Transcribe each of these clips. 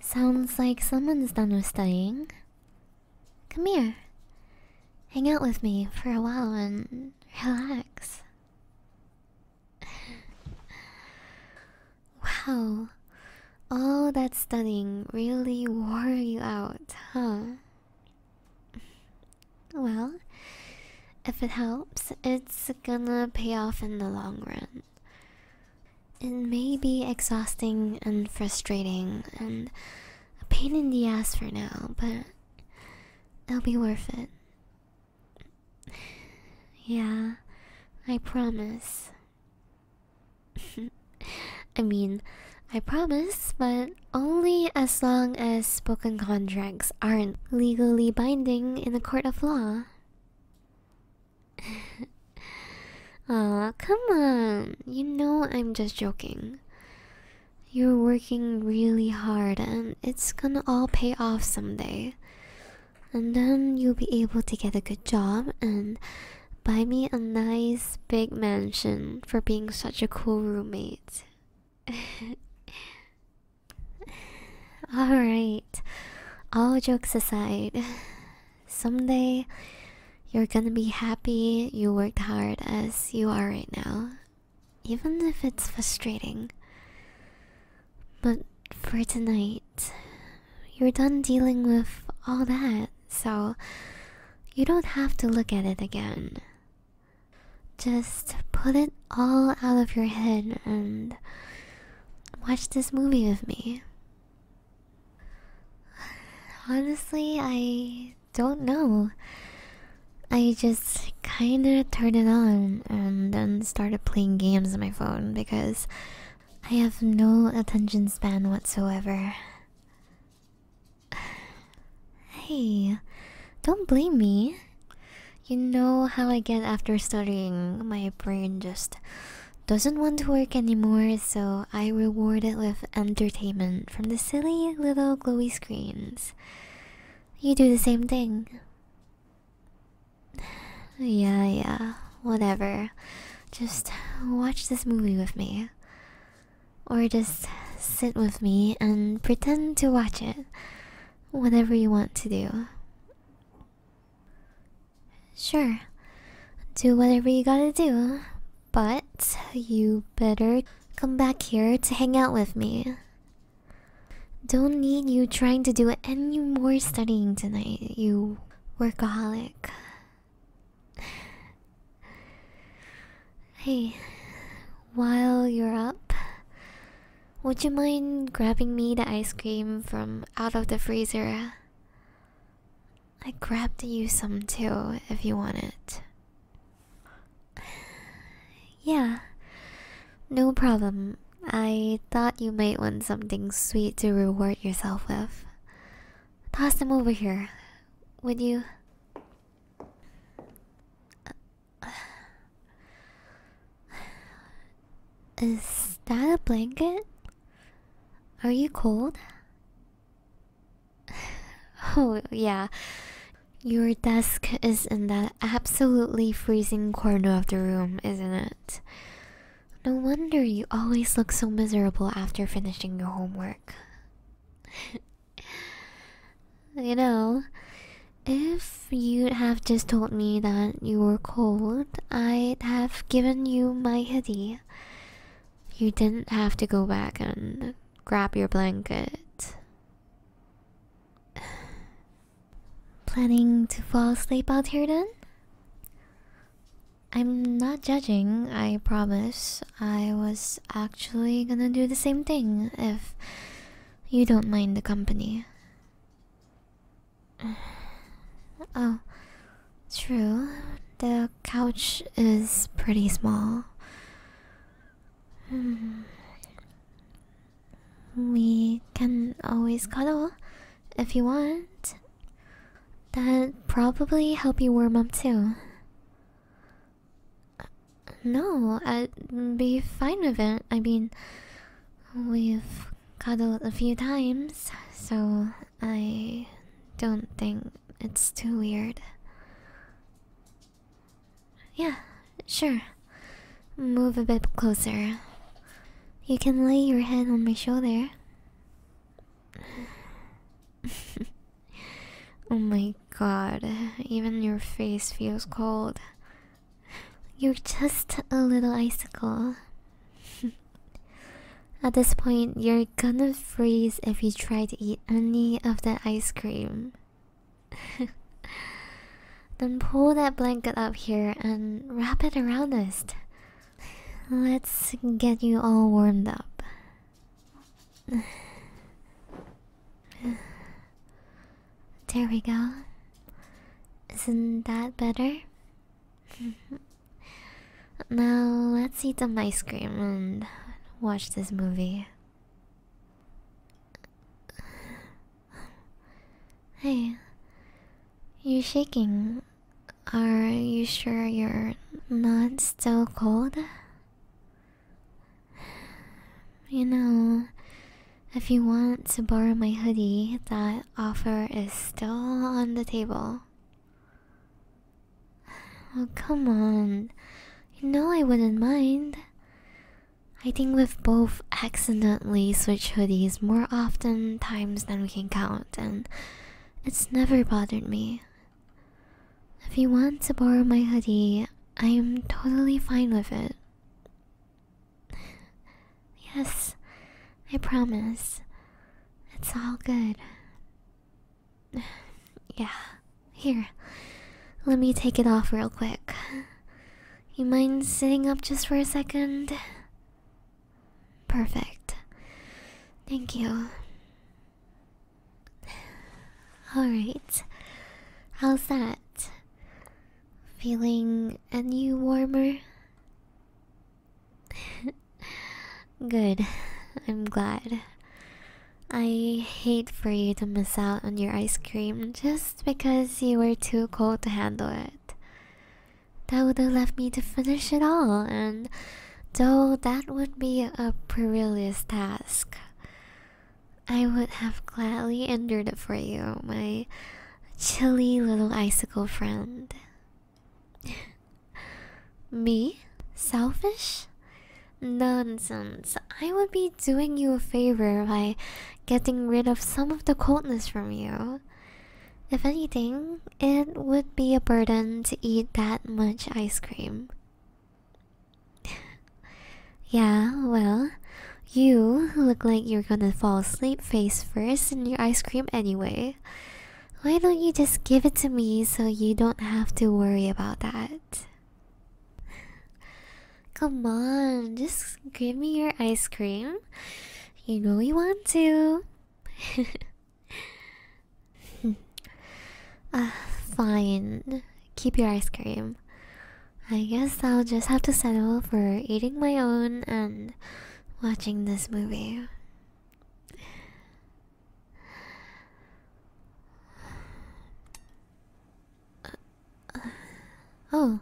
Sounds like someone's done with studying. Come here. Hang out with me for a while and relax. wow. All that studying really wore you out, huh? Well, if it helps, it's gonna pay off in the long run. It may be exhausting and frustrating and a pain in the ass for now, but it'll be worth it. Yeah, I promise. I mean, I promise, but only as long as spoken contracts aren't legally binding in a court of law. Aw, come on. You know I'm just joking. You're working really hard and it's gonna all pay off someday. And then you'll be able to get a good job and buy me a nice big mansion for being such a cool roommate. Alright, all jokes aside, someday you're gonna be happy you worked hard as you are right now, even if it's frustrating. But for tonight, you're done dealing with all that, so you don't have to look at it again. Just put it all out of your head and watch this movie with me. Honestly, I don't know. I just kinda turned it on and then started playing games on my phone because I have no attention span whatsoever. Hey, don't blame me. You know how I get after studying. My brain just doesn't want to work anymore, so I reward it with entertainment from the silly little glowy screens. You do the same thing. Yeah, yeah, whatever. Just watch this movie with me. Or just sit with me and pretend to watch it whatever you want to do. Sure, do whatever you gotta do, but you better come back here to hang out with me. Don't need you trying to do any more studying tonight, you workaholic. Hey, while you're up, would you mind grabbing me the ice cream from out of the freezer? I grabbed you some too if you want it. Yeah, no problem. I thought you might want something sweet to reward yourself with. Toss them over here, would you? Is that a blanket? Are you cold? Oh, yeah. Your desk is in that absolutely freezing corner of the room, isn't it? No wonder you always look so miserable after finishing your homework. You know, if you'd have just told me that you were cold, I'd have given you my hoodie. You didn't have to go back and grab your blanket. Planning to fall asleep out here then? I'm not judging, I promise. I was actually gonna do the same thing if you don't mind the company. Oh, true. The couch is pretty small. Hmm. We can always cuddle if you want. That'd probably help you warm up too. No, I'd be fine with it. I mean, we've cuddled a few times, so I don't think it's too weird. Yeah, sure. Move a bit closer. You can lay your head on my shoulder. oh my god, even your face feels cold. You're just a little icicle. At this point, you're gonna freeze if you try to eat any of the ice cream. then pull that blanket up here and wrap it around us. Let's get you all warmed up. there we go. Isn't that better? now let's eat some ice cream and watch this movie. Hey, you're shaking. Are you sure you're not still cold? You know, if you want to borrow my hoodie, that offer is still on the table. Oh, come on. You know I wouldn't mind. I think we've both accidentally switched hoodies more often times than we can count, and it's never bothered me. If you want to borrow my hoodie, I'm totally fine with it. Yes, I promise. It's all good. Yeah, here. Let me take it off real quick. You mind sitting up just for a second? Perfect. Thank you. Alright. How's that? Feeling any warmer? Good. I'm glad. I hate for you to miss out on your ice cream just because you were too cold to handle it. That would have left me to finish it all, and though that would be a perilous task, I would have gladly endured it for you, my chilly little icicle friend. Me? Selfish? Nonsense. I would be doing you a favor by getting rid of some of the coldness from you. If anything, it would be a burden to eat that much ice cream. yeah, well, you look like you're gonna fall asleep face first in your ice cream anyway. Why don't you just give it to me so you don't have to worry about that? Come on, just give me your ice cream. You know you want to. Ah, fine keep your ice cream. I guess I'll just have to settle for eating my own and watching this movie. oh,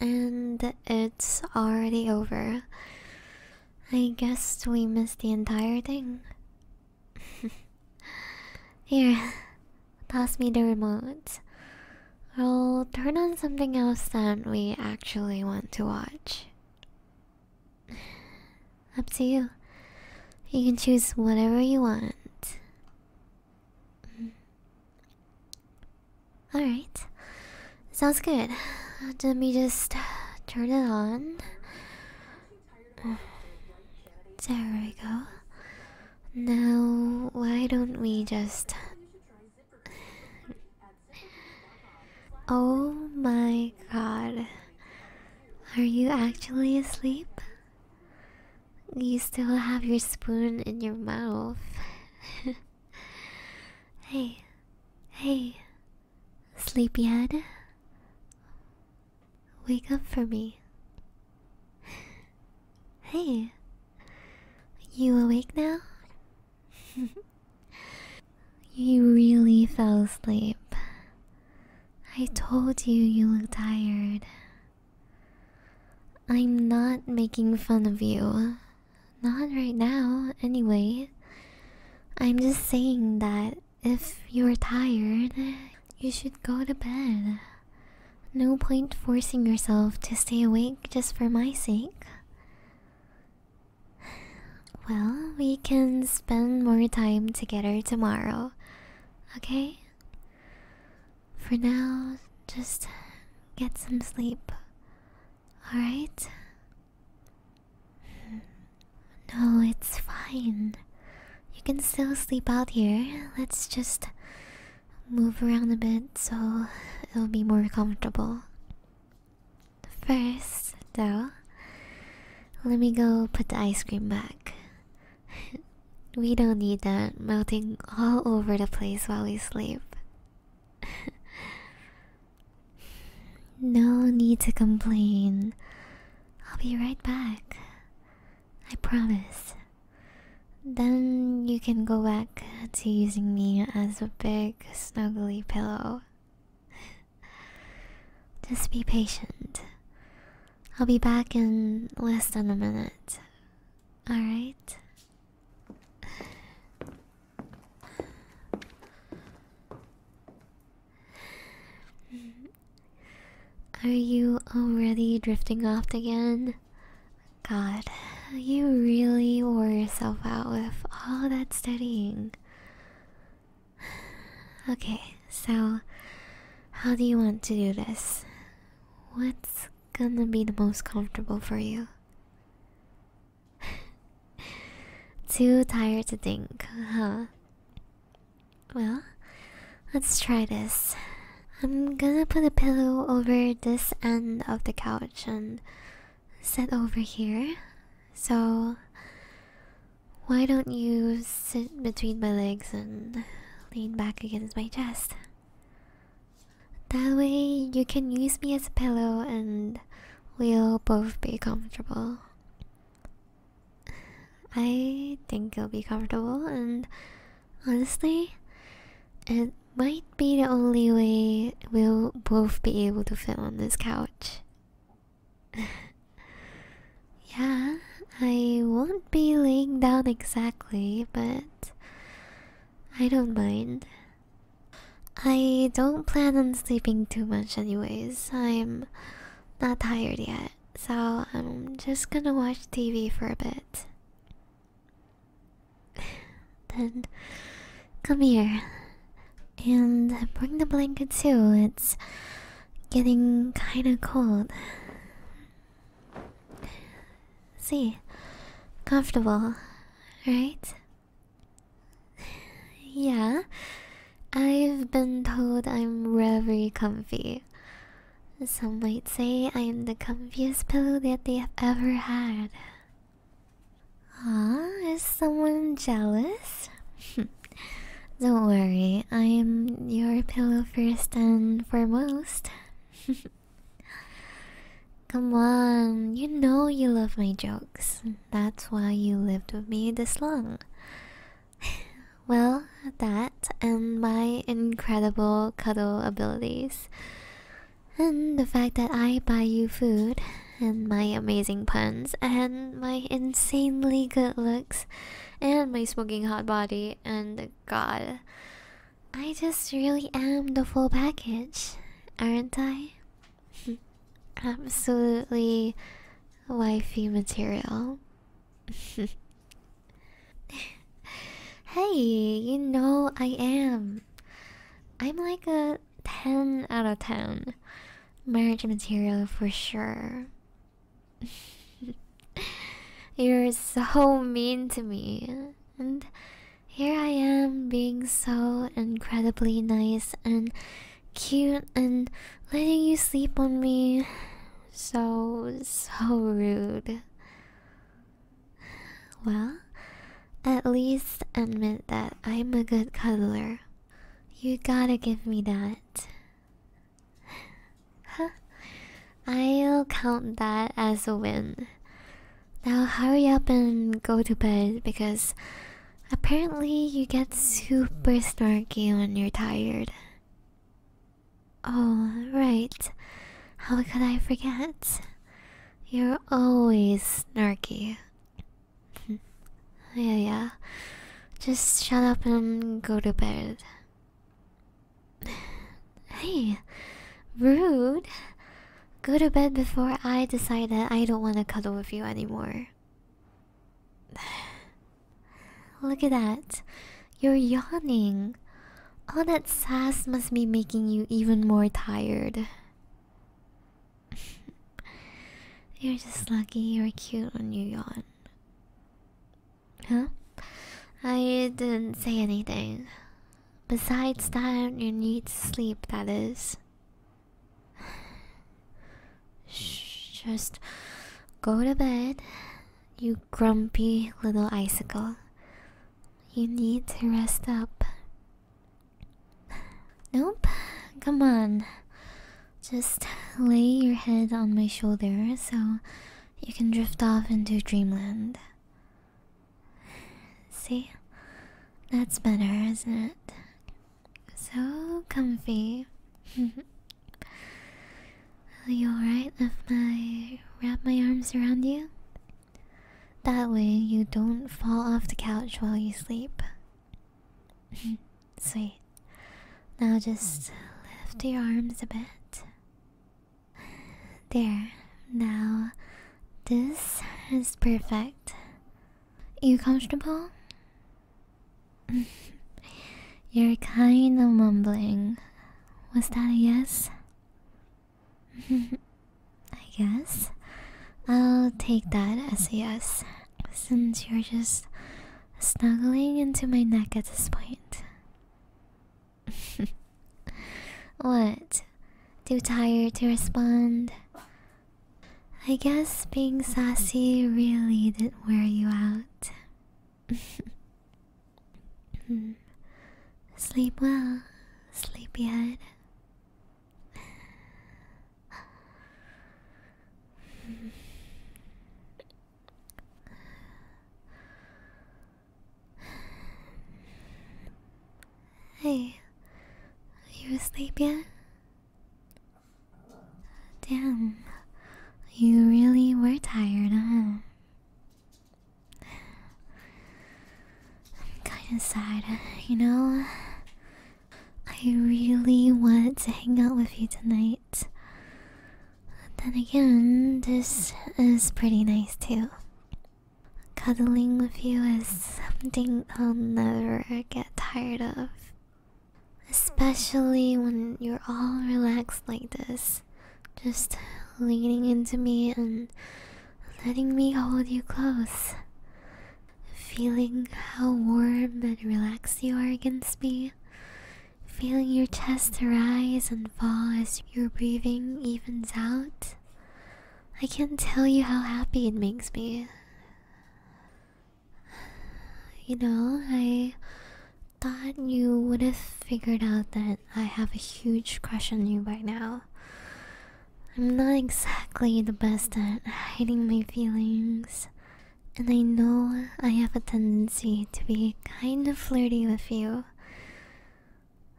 and it's already over. I guess we missed the entire thing. Here, pass me the remote. I'll turn on something else that we actually want to watch. Up to you. You can choose whatever you want. Mm. Alright, sounds good. Let me just turn it on. There we go. Now, why don't we just. oh my god. Are you actually asleep? You still have your spoon in your mouth. hey, hey, sleepyhead. Wake up for me. Hey, you awake now? you really fell asleep. I told you you look tired. I'm not making fun of you. Not right now, anyway. I'm just saying that if you're tired, you should go to bed. No point forcing yourself to stay awake just for my sake. Well, we can spend more time together tomorrow, okay? For now, just get some sleep, alright? No, it's fine. You can still sleep out here. Let's just move around a bit so it'll be more comfortable. First, though, let me go put the ice cream back. we don't need that melting all over the place while we sleep. no need to complain. I'll be right back. I promise. Then you can go back to using me as a big, snuggly pillow. Just be patient. I'll be back in less than a minute. Alright? Are you already drifting off again? God, you really wore yourself out with all that studying. Okay, so how do you want to do this? What's gonna be the most comfortable for you? Too tired to think, huh? Well, let's try this. I'm gonna put a pillow over this end of the couch and sit over here. So, why don't you sit between my legs and lean back against my chest? That way, you can use me as a pillow and we'll both be comfortable. I think it'll be comfortable, and honestly, it might be the only way we'll both be able to fit on this couch. yeah, I won't be laying down exactly, but I don't mind. I don't plan on sleeping too much, anyways. I'm not tired yet so I'm just gonna watch TV for a bit. then come here and bring the blanket too. It's getting kinda cold. See, comfortable, right? Yeah, I've been told I'm very comfy. Some might say I'm the comfiest pillow that they have ever had. Ah, is someone jealous? Don't worry, I am your pillow first and foremost. Come on, you know you love my jokes. That's why you lived with me this long. well, that and my incredible cuddle abilities. And the fact that I buy you food, and my amazing puns, and my insanely good looks, and my smoking hot body, and god. I just really am the full package, aren't I? Absolutely wifey material. hey, you know I am. I'm like a 10 out of 10 marriage material for sure. You're so mean to me. And here I am being so incredibly nice and cute and letting you sleep on me. So, so rude. Well, at least admit that I'm a good cuddler. You gotta give me that. Huh? I'll count that as a win. Now hurry up and go to bed because Apparently, you get super snarky when you're tired. Oh, right. How could I forget? You're always snarky. yeah, yeah. Just shut up and go to bed. Hey, rude. Go to bed before I decide that I don't want to cuddle with you anymore. Look at that. You're yawning. All that sass must be making you even more tired. you're just lucky you're cute when you yawn. Huh? I didn't say anything. Besides that, you need sleep, that is just go to bed, you grumpy little icicle. You need to rest up. Nope, come on. Just lay your head on my shoulder so you can drift off into dreamland. See? That's better, isn't it? So comfy. Are you alright if I wrap my arms around you? That way you don't fall off the couch while you sleep. Sweet. Now just lift your arms a bit. There. Now, this is perfect. You comfortable? You're kinda mumbling. Was that a yes? I guess. I'll take that as a yes, since you're just snuggling into my neck at this point. what? Too tired to respond? I guess being sassy really didn't wear you out. Sleep well, sleepyhead. Hey, are you asleep yet? Damn, you really were tired, huh? I'm kinda sad, you know? I really want to hang out with you tonight. But Then again, this is pretty nice too. Cuddling with you is something I'll never get tired of. Especially when you're all relaxed like this, just leaning into me and letting me hold you close. Feeling how warm and relaxed you are against me. Feeling your chest rise and fall as your breathing evens out. I can't tell you how happy it makes me. You know, I thought you would have figured out that I have a huge crush on you by now. I'm not exactly the best at hiding my feelings, and I know I have a tendency to be kind of flirty with you.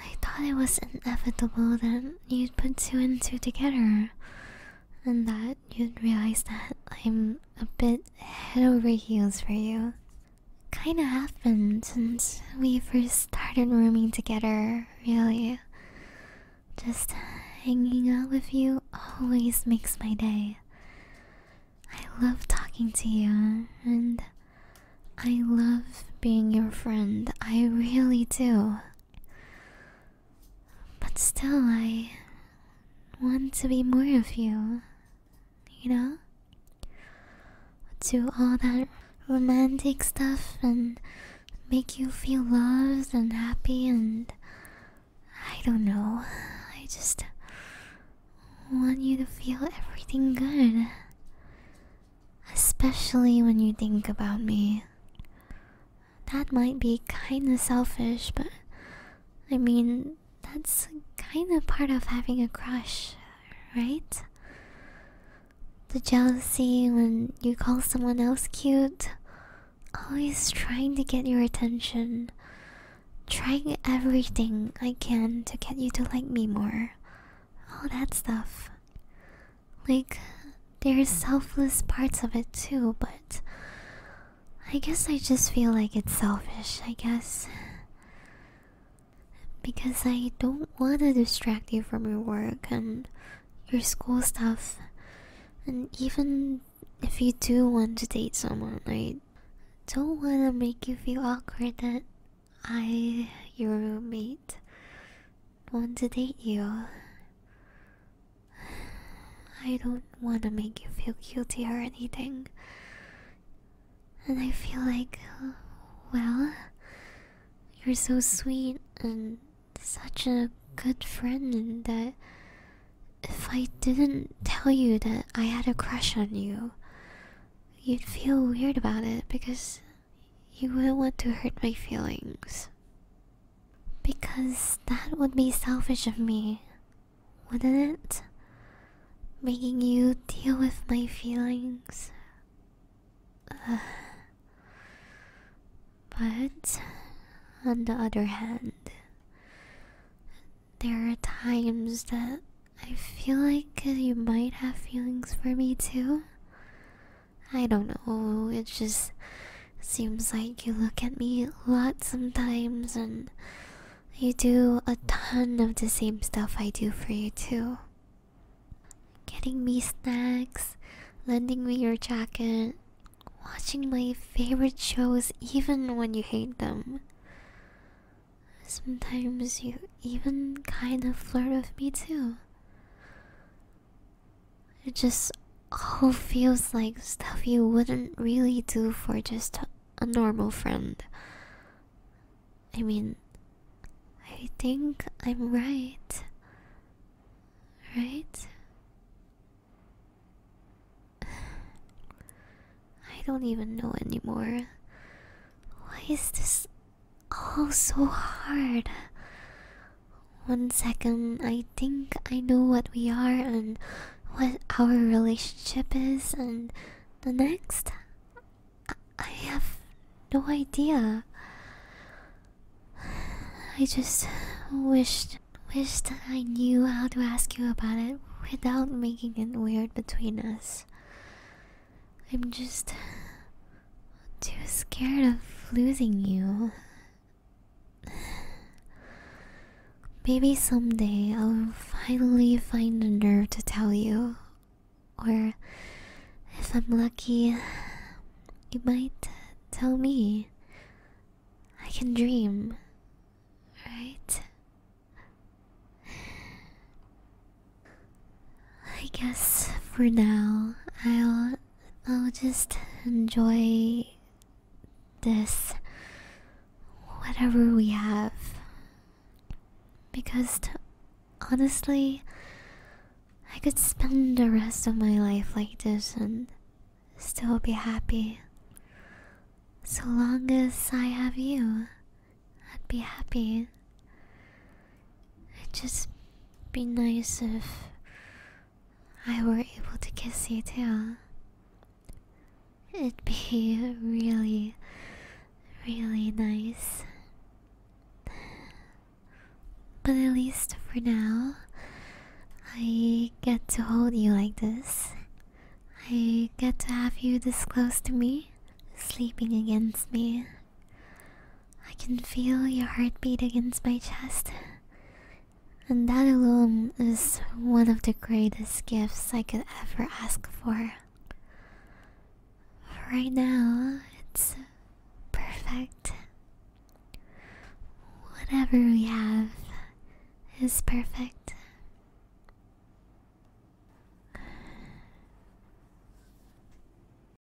I thought it was inevitable that you'd put two and two together, and that you'd realize that I'm a bit head over heels for you. Kinda happened since we first started rooming together, really. Just hanging out with you always makes my day. I love talking to you, and I love being your friend. I really do. But still, I want to be more of you, you know? Do all that romantic stuff and make you feel loved and happy, and I don't know. I just want you to feel everything good. Especially when you think about me. That might be kinda selfish, but I mean, that's kinda part of having a crush, right? The jealousy when you call someone else cute, always trying to get your attention, trying everything I can to get you to like me more, all that stuff. Like, there's selfless parts of it too, but I guess I just feel like it's selfish, I guess. Because I don't want to distract you from your work and your school stuff. And even if you do want to date someone, I don't want to make you feel awkward that I, your roommate, want to date you. I don't want to make you feel guilty or anything. And I feel like, well, you're so sweet and such a good friend that if I didn't tell you that I had a crush on you, you'd feel weird about it because you wouldn't want to hurt my feelings. Because that would be selfish of me, wouldn't it? Making you deal with my feelings. But, on the other hand, there are times that I feel like you might have feelings for me too. I don't know, it just seems like you look at me a lot sometimes and you do a ton of the same stuff I do for you too. Getting me snacks, lending me your jacket, watching my favorite shows even when you hate them. Sometimes you even kind of flirt with me too. It just all feels like stuff you wouldn't really do for just a normal friend. I mean, I think I'm right. Right? I don't even know anymore. Why is this Oh, so hard. One second, I think I know what we are and what our relationship is, and the next, I, have no idea. I just wished, wished I knew how to ask you about it without making it weird between us. I'm just too scared of losing you. Maybe someday I'll finally find the nerve to tell you. Or, if I'm lucky, you might tell me. I can dream, right? I guess for now I'll I'll just enjoy this, whatever we have. Because honestly, I could spend the rest of my life like this and still be happy. So long as I have you, I'd be happy. It'd just be nice if I were able to kiss you too. It'd be really, really nice. But at least for now, I get to hold you like this. I get to have you this close to me, sleeping against me. I can feel your heartbeat against my chest. And that alone is one of the greatest gifts I could ever ask for. Right now, it's perfect. Whatever we have is perfect.